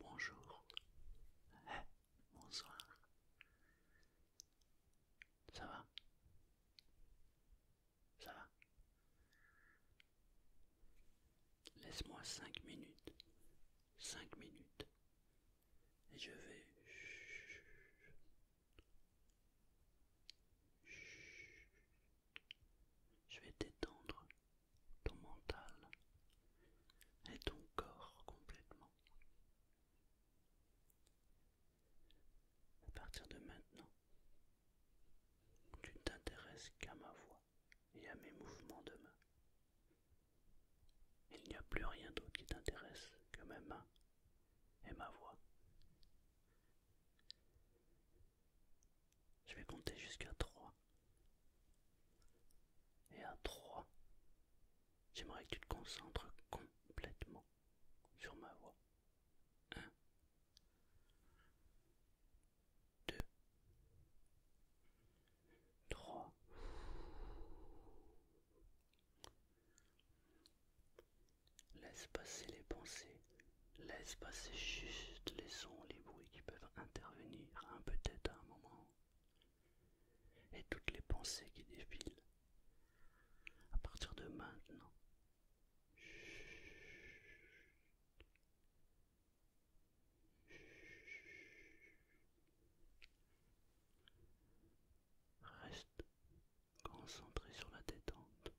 bonjour. Eh, bonsoir. Ça va Ça va Laisse-moi cinq minutes. Cinq minutes et je vais je vais détendre ton mental et ton corps complètement. À partir de maintenant, tu ne t'intéresses qu'à ma voix et à mes mouvements de main. Il n'y a plus rien d'autre qui t'intéresse que mes mains et ma voix. Je vais compter jusqu'à 3. Et à 3, j'aimerais que tu te concentres complètement sur ma voix. 1, 2, 3. Laisse passer les pensées, laisse passer juste les sons, les bruits qui peuvent intervenir, un hein, peut-être à un moment, et toutes les pensées qui défilent. À partir de maintenant, Reste concentré sur la détente.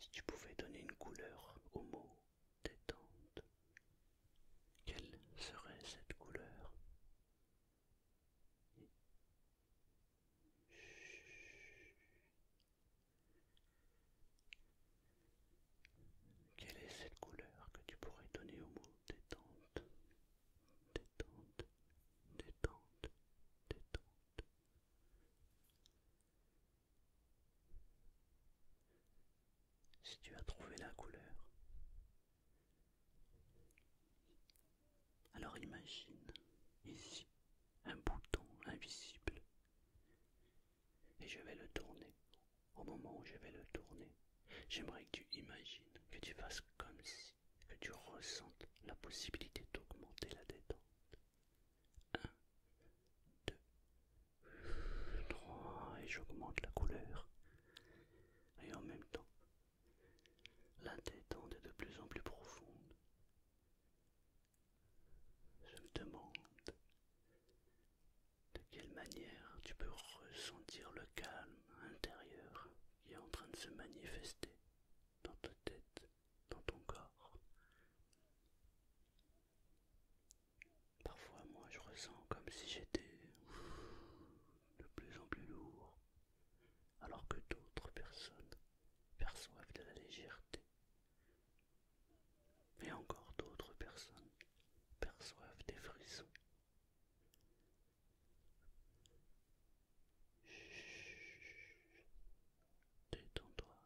Si tu pouvais donner une couleur au mot détente, quelle serait cette couleur quelle est cette couleur que tu pourrais donner au mot détente Détente, détente, détente. Si tu as trouvé la couleur, alors imagine ici un bouton invisible et je vais le tourner. Au moment où je vais le tourner, j'aimerais que tu imagines, que tu fasses comme si, que tu ressentes la possibilité d'augmenter la détente. 1, 2, 3, et j'augmente la couleur. Et en même temps, la détente est de plus en plus profonde. Je me demande de quelle manière tu peux ressentir le calme intérieur qui est en train de se manifester dans ta tête, dans ton corps. Parfois moi je ressens comme si j'étais de plus en plus lourd, alors que d'autres personnes perçoivent de la légèreté. Mais encore d'autres personnes perçoivent des frissons. toi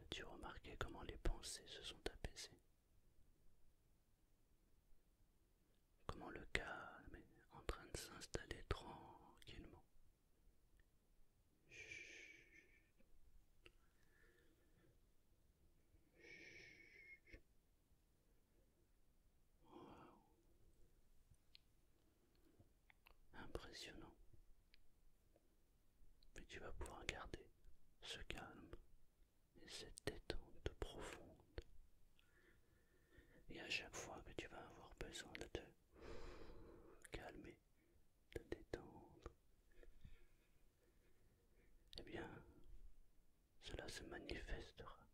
As-tu remarqué comment les pensées se sont apaisées Comment le calme est en train de s'installer tranquillement Impressionnant. Mais tu vas pouvoir garder ce calme et cette détente profonde. Et à chaque fois que tu vas avoir besoin de te calmer, de détendre, et eh bien, cela se manifestera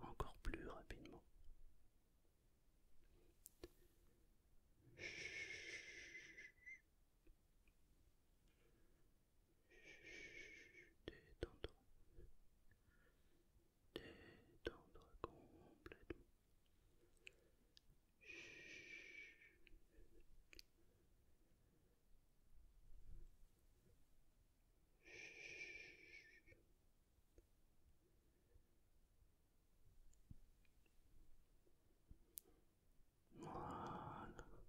encore plus rapidement. Détends-toi. Détends-toi complètement. Voilà,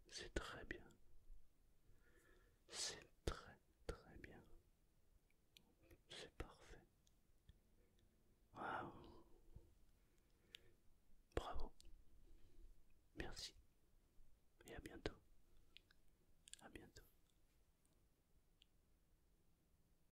c'est très bien. C'est très très bien. C'est parfait. Waouh. Bravo. Merci. Et à bientôt. À bientôt.